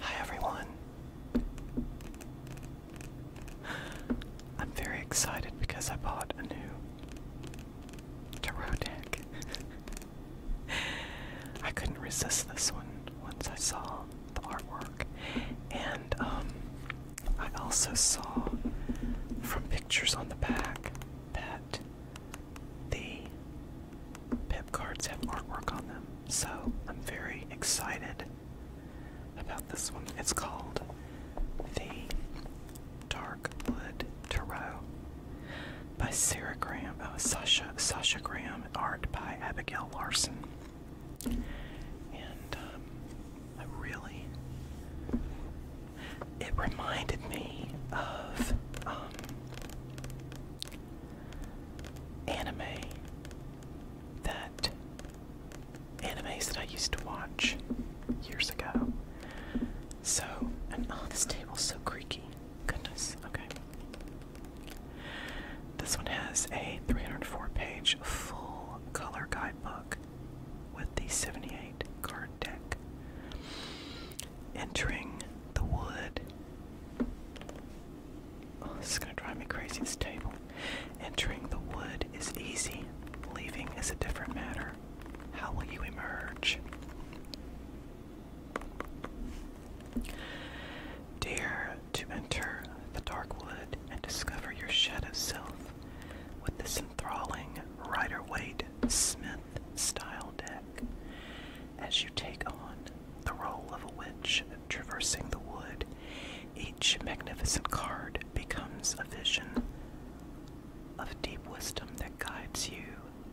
Hi everyone. I'm very excited because I bought a new tarot deck. I couldn't resist this one once I saw the artwork. And um I also saw from pictures on the back that the pip cards have artwork on them, so I'm very excited about this one. It's called The Darkwood Tarot by Sarah Graham, oh, Sasha, Sasha Graham, art by Abigail Larson. And um, I really, it reminded me of um, anime that animes that I used to watch years ago. So, and oh, this table's so creaky. Goodness, okay. This one has a 304 page full color guidebook with the 78 card deck entering the wood. Oh, this is going to drive me crazy, this table. Entering the wood is easy, leaving is a different matter. How will you emerge? Dare to enter the dark wood and discover your shadow self with this enthralling Rider Waite Smith style deck as you take on the role of a witch traversing the wood. Each magnificent card becomes a vision of deep wisdom that guides you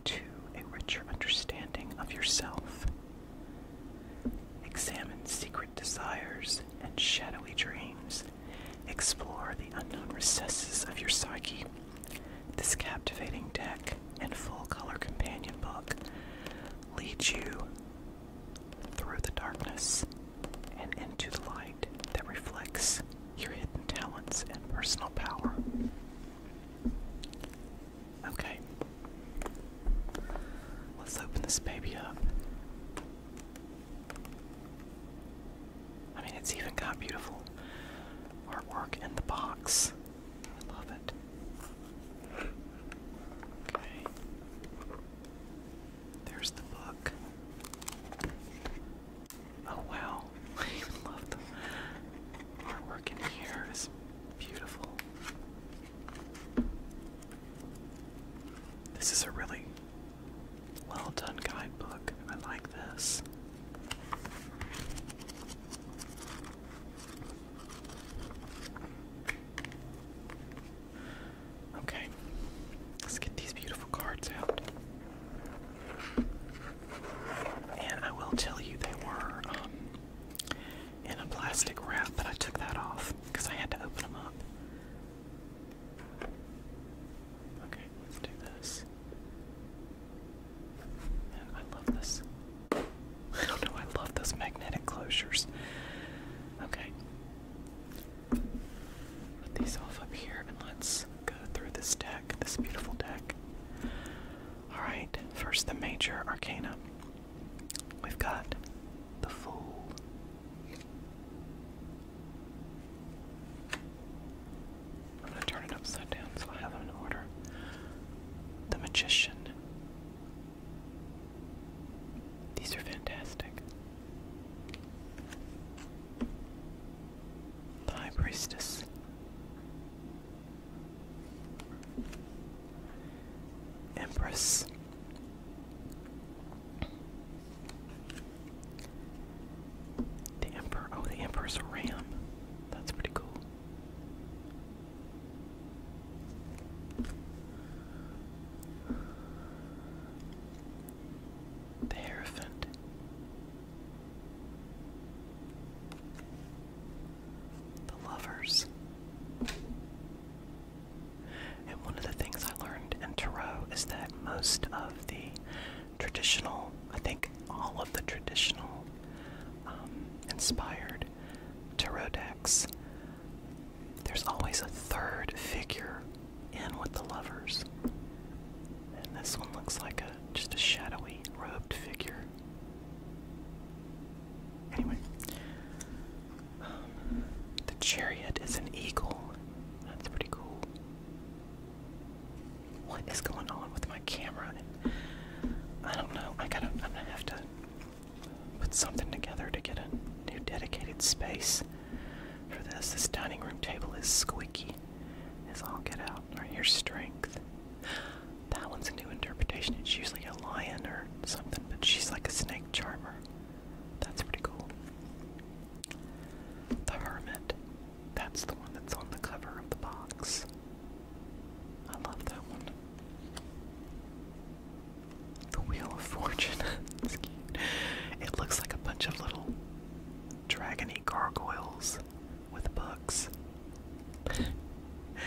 to a richer understanding of yourself. Examine secret desires and shadowy dreams. Explore the unknown recesses of your psyche this captivating deck and full color companion book leads you through the darkness and into the light that reflects your hidden talents and personal power. Okay, let's open this baby up. I mean, it's even got beautiful artwork in the box. I love it. Okay. There's the book. Oh wow. I even love the artwork in here. beautiful. This is a really well done guidebook. I like this. Okay, let's get these beautiful cards out. And I will tell you, they were um, in a plastic wrap, but I took that off because I had to open them up. Okay, let's do this. I love this. I don't know, I love those magnetic closures. Okay. Put these off up here and let's go through this deck, this beautiful deck. Alright, first the major arcana. We've got the Fool. I'm gonna turn it upside down so I have them in order. The Magician. These are fantastic. The High Priestess. Empress. The Emperor. Oh, the Emperor's Ram. That's pretty cool. The Hierophant. The Lovers. And one of the things I learned in Tarot is that most of the traditional, I think all of the traditional um, inspired to Rodex. there's always a third figure in with the lovers. And this one looks like a just a shadowy robed figure. Anyway, um, the chariot is an eagle. That's pretty cool. What is going on with my camera? I don't know. I gotta. I'm gonna have to put something together to get a new dedicated space for this. This dining room table is squeaky. Is all get out. Right your strength. That one's a new interpretation. It's usually a lion or something, but she's like a snake charmer. That's pretty cool. The hermit. That's the one that's on the cover of the box. I love that one. The Wheel of Fortune. It looks like a bunch of little dragony gargoyles with books. I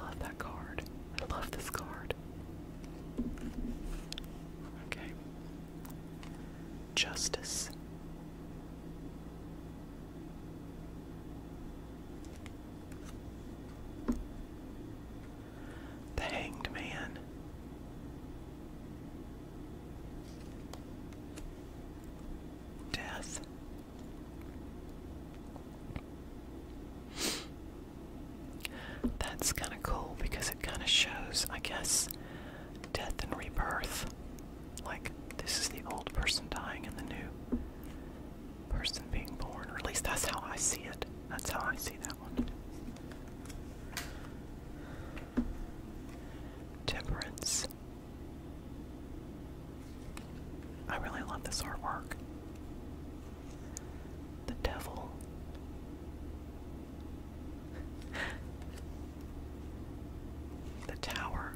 love that card. I love this card. Okay. Justice. The Hanged Man. Death. That's kind of cool because it kind of shows, I guess, death and rebirth. Like, this is the old person dying and the new person being born, or at least that's how I see it. That's how I see that one. Temperance. I really love this artwork. The devil. the tower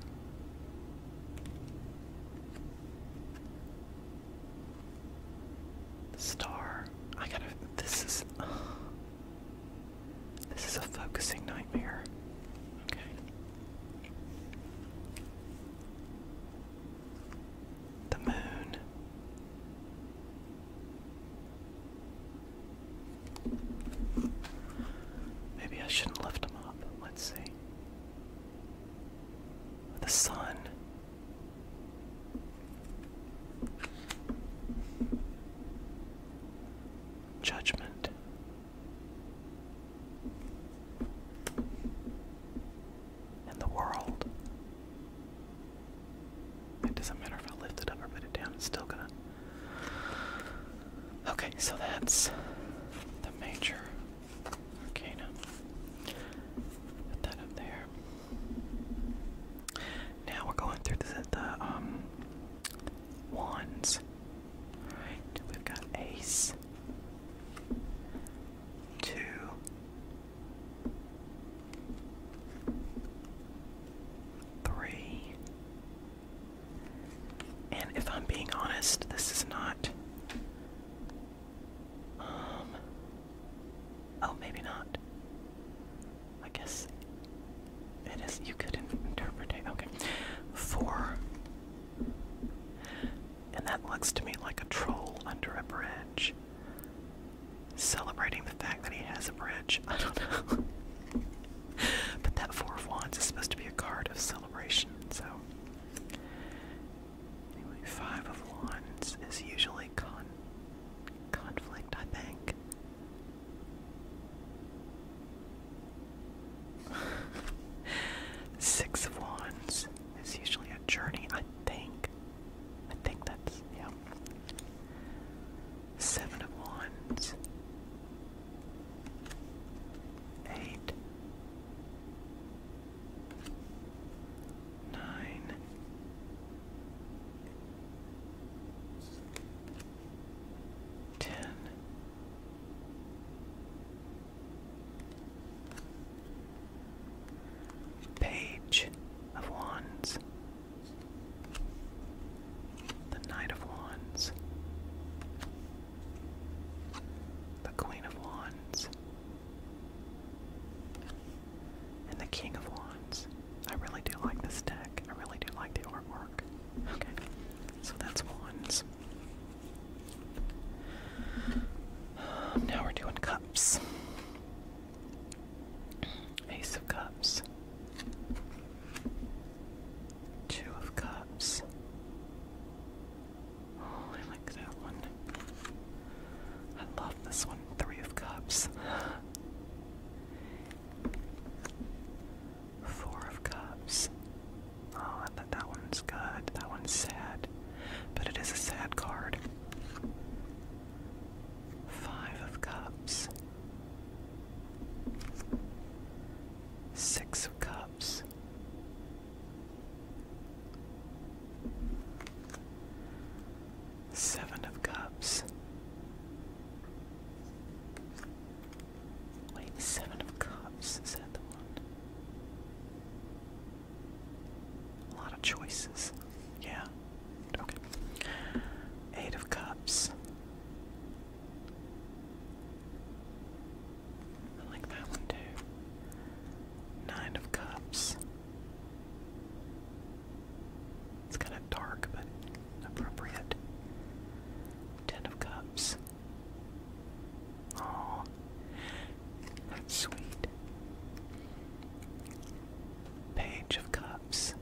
star. I gotta. This is. this is a focusing nightmare. Okay. The moon. Maybe I shouldn't lift them up. Let's see. The sun. Judgment. And the world. It doesn't matter if I lift it up or put it down, it's still gonna Okay, so that's the major arcana. Put that up there. Now we're going through the, um, wands. Alright, we've got ace, two, three, and if I'm being honest, this is not. Um. Oh, maybe not. I guess it is. You could interpret Okay. Four. And that looks to me like a troll under a bridge. Celebrating the fact that he has a bridge. I don't but that Four of Wands is supposed to be a card of celebration, so. Anyway, Five of Wands is usually con conflict, I think. Six of Wands is usually a journey, I think. I think that's, yeah. Seven of Wands eight, nine, ten, page of wands, the knight of wands the Queen of Wands, and the King of Wands. I really do like this deck. I really do like the artwork. Okay, so that's Wands. now we're doing Cups. Ace of Cups. Two of Cups. Oh, I like that one. I love this one. Three of Cups. Four of Cups. Oh, I thought that one's good. That one's sad. But it is a sad card. Five of Cups. Six of Cups. Seven of Cups. Wait, Seven of Cups, is that the one? A lot of choices. Yeah. Okay. Eight of Cups. I like that one too. Nine of Cups. It's kind of dark, but appropriate. Ten of Cups. Oh, that's sweet. Page of Cups.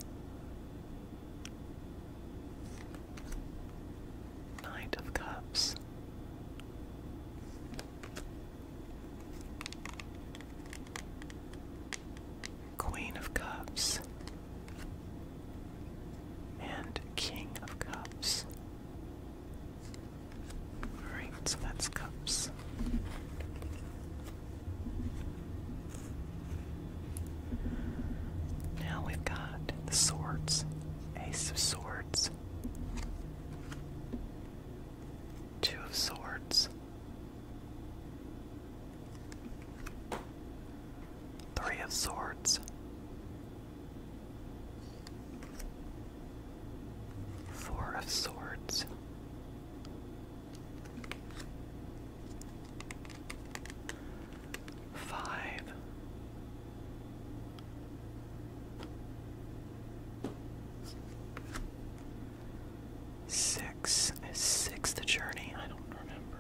Knight of Cups. Queen of Cups and King of Cups. Alright, so that's Cups. Now we've got the swords, ace of swords, two of swords, three of swords. Four of Swords, Five, six, six. the journey? I don't remember.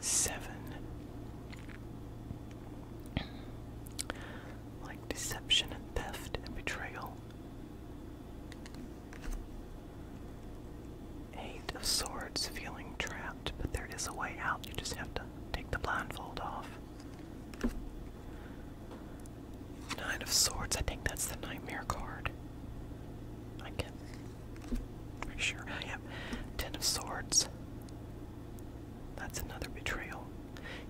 Seven. Like deception and theft and betrayal. Eight of Swords feeling trapped, but there is a way out. You just have to take the blindfold off. Nine of Swords, I think that's the Nightmare card. I can. sure I oh, Ten of Swords. That's another betrayal.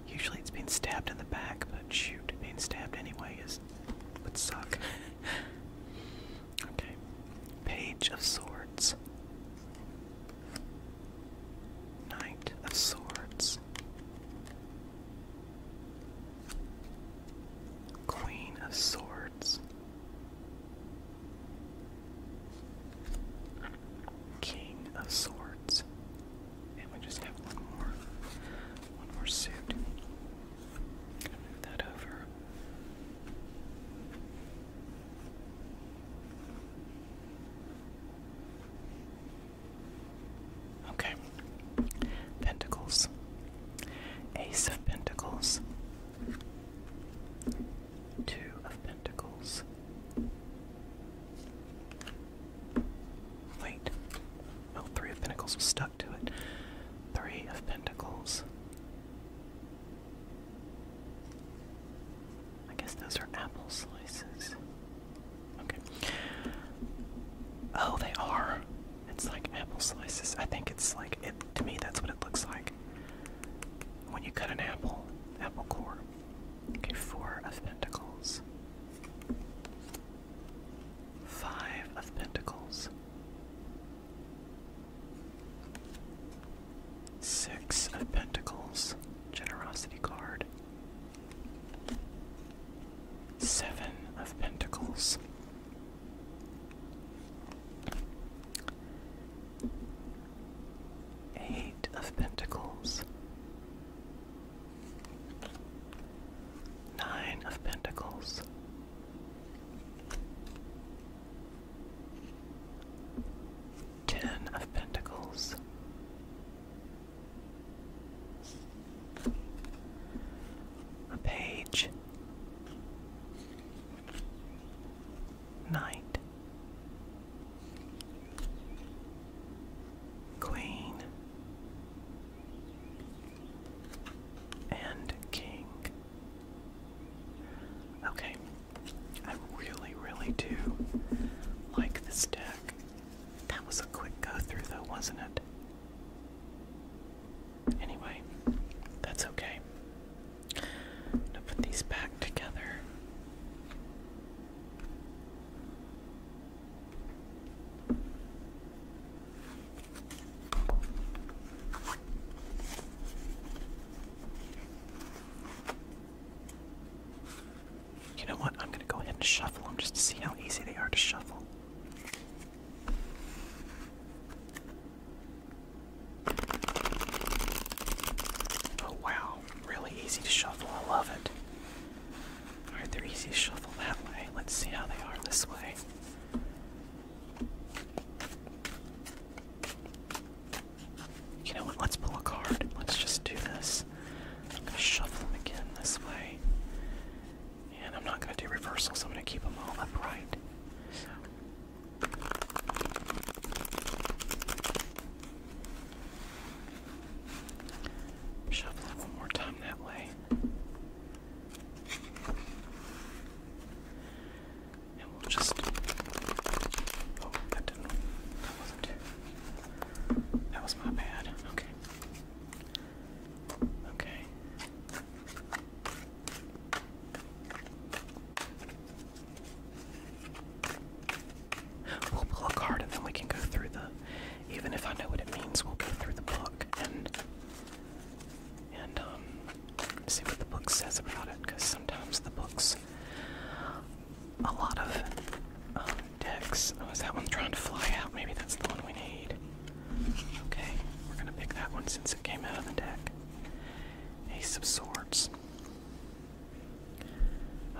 Usually it's being stabbed in the back, but shoot, being stabbed anyway is would suck. Okay. Page of Swords. Knight of Swords. Queen of Swords. King of Swords. And we just have one more one more suit move that over. Okay. Pentacles. Ace of Pentacles. Two of Pentacles. Wait. Oh, Three of Pentacles stuck to it. Three of Pentacles. I guess those are apple slices. Okay. Oh, they are. It's like apple slices. I think it's like it to me that's what it looks like. When you cut an apple, apple core. Okay, four of pentacles. Five of pentacles. Six of Pentacles, Generosity card. Seven of Pentacles. Eight of Pentacles. Nine of Pentacles. Ten of Pentacles. A page. Knight. Queen and king. Okay, I really, really do like this deck. That was a quick go through, though, wasn't it? Anyway, that's okay. gonna put these back together. You know what? I'm gonna go ahead and shuffle them just to see how easy they are to shuffle. Oh wow, really easy to shuffle. I love it. Alright, they easy to shuffle that way. Let's see how they are this way. You know what? Let's pull a card. Let's just do this. I'm gonna shuffle them again this way. And I'm not gonna do reversals, I'm gonna keep them all upright. Shuffle it one more time that way we'll just. Oh, that didn't. That wasn't. That was my bad. Okay. Okay. We'll pull a card and then we can go through the. Even if I know what it means, we'll go through the book and and um, see what the book says about it because sometimes the books, a lot of decks. Um, oh, is that one trying to fly out? Maybe that's the one we need. Okay, we're gonna pick that one since it came out of the deck. Ace of Swords.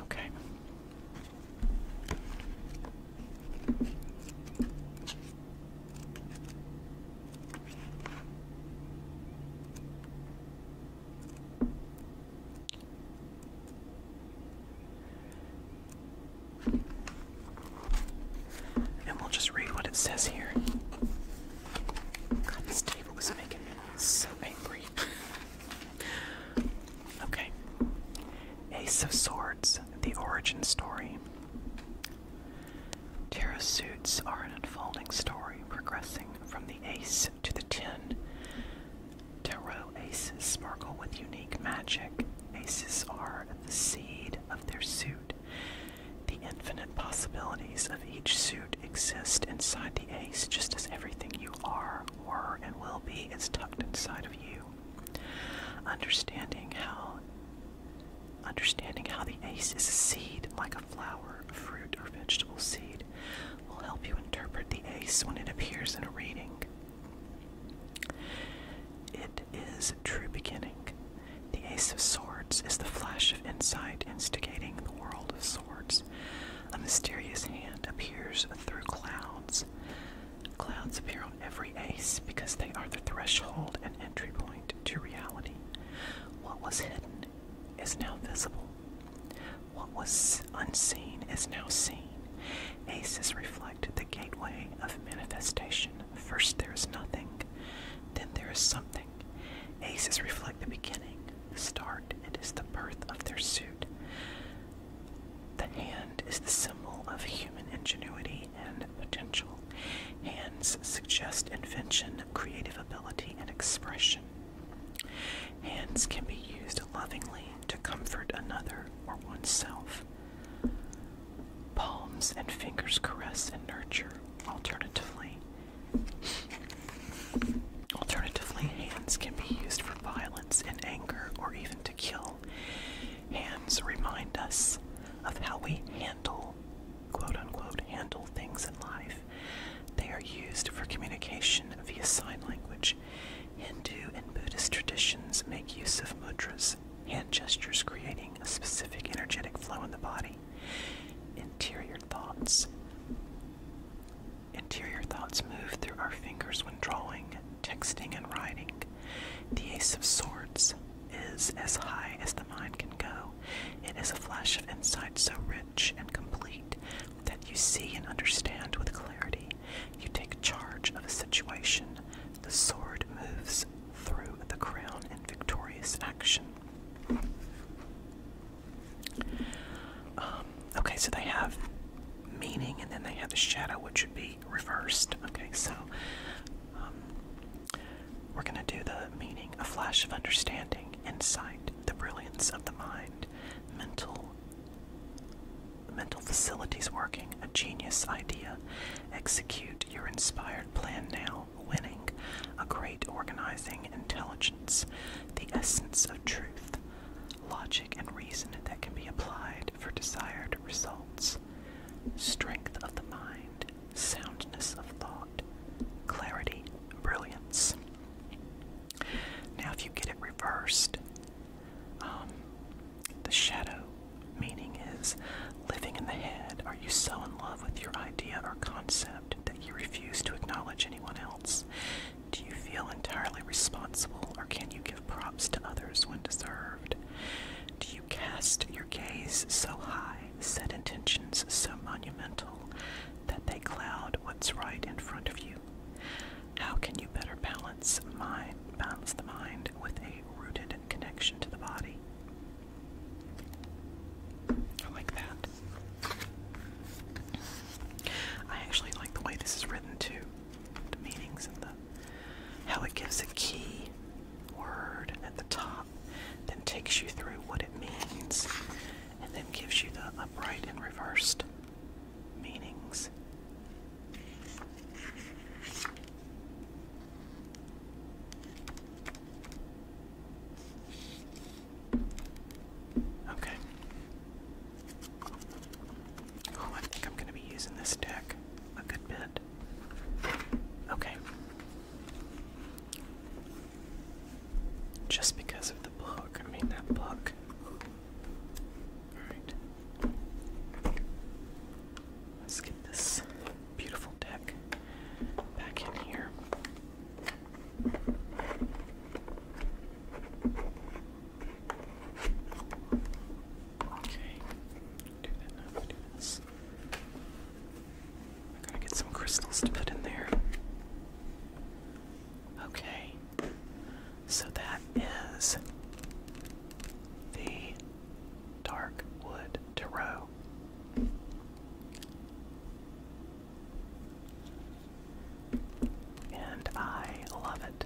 Okay. And we'll just read what it says here. this table is making me so angry. okay. Ace of Swords, the origin story. Tarot suits are an unfolding story progressing from the ace to the ten. Tarot aces sparkle with unique magic. Aces are the seed of their suit. The infinite possibilities of each suit exist inside the ace, just as everything you are, were, and will be is tucked inside of you. Understanding how Understanding how the ace is a seed, like a flower, fruit, or vegetable seed, will help you interpret the ace when it appears in a reading. It is a true beginning. The ace of swords is the flash of insight instigating the world of swords. A mysterious hand appears through clouds. Clouds appear on every ace because they are the threshold and entry point to reality. What was hidden is now visible. What was unseen is now seen. Aces reflect the gateway of manifestation. First there is nothing, then there is something. Aces reflect the beginning, the start. It is the birth of their suit. The hand is the symbol of human ingenuity and potential. Hands suggest invention, creative ability, and expression. Hands can be used lovingly to comfort another or oneself. Palms and fingers caress and nurture, alternatively. Alternatively, hands can be used for violence and anger or even to kill Hands remind us of how we handle, quote unquote, handle things in life. They are used for communication via sign language. Hindu and Buddhist traditions make use of mudras, hand gestures creating a specific energetic flow in the body. Interior thoughts. Interior thoughts move through our fingers when drawing, texting, and writing. The Ace of Swords is as high as the mind can go. It is a flash of insight so rich and complete that you see and understand with clarity. You take charge of a situation. The sword moves through the crown in victorious action. Um, okay, so they have meaning and then they have the shadow, which would be reversed. Okay, so um, we're going to do the meaning, a flash of understanding, insight, the brilliance of the mind, mental mental facilities working, a genius idea, execute your inspired plan now, winning, a great organizing intelligence, the essence of truth, logic and reason that can be applied, for desired results strength of the mind, soundness of thought, clarity, brilliance. Now, if you get it reversed, um, the shadow meaning is living in the head. Are you so in love with your idea or concept that you refuse to acknowledge anyone else? Do you feel entirely responsible, or can you give props to others when deserved? Do you cast your gaze so high, set intentions so monumental, that they cloud what's right in front of you? How can you better balance mind, balance the mind with a rooted connection to the body? I like that. I actually like the way this is written too, the meanings and the how it gives a key word at the top, then takes you through what it means, and then gives you the upright and reversed meanings. Okay. Oh, I think I'm going to be using this deck a good bit. Okay. Just because of the book. I mean, that book. Alright. Let's get this beautiful deck back in here. Okay. I gotta get some crystals to put in there. Okay, so that is the dark wood tarot. And I love it.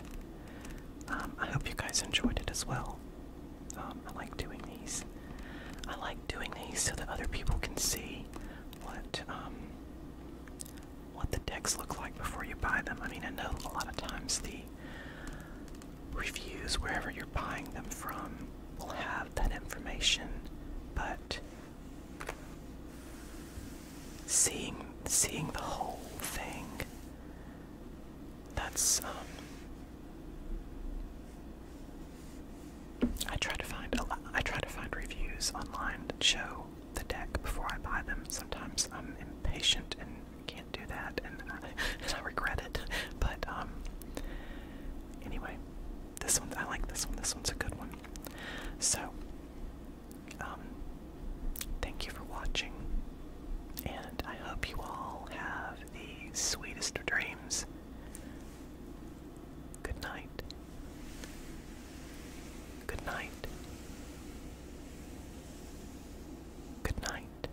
Um, I hope you guys enjoyed it as well. Um, I like doing these. I like doing these so that other people can see what um, what the decks look like before you buy them. I mean, I know a lot of times the reviews wherever you're buying them from will have that information, but seeing seeing the whole thing that's um I try to find a try to find reviews online that show the deck before I buy them. Sometimes I'm impatient and can't do that, and I, regret it. But um, anyway, this one I like. This one. This one's a good one. So, um, thank you for watching, and I hope you all have the sweetest dreams. Good night. Good night. Good night.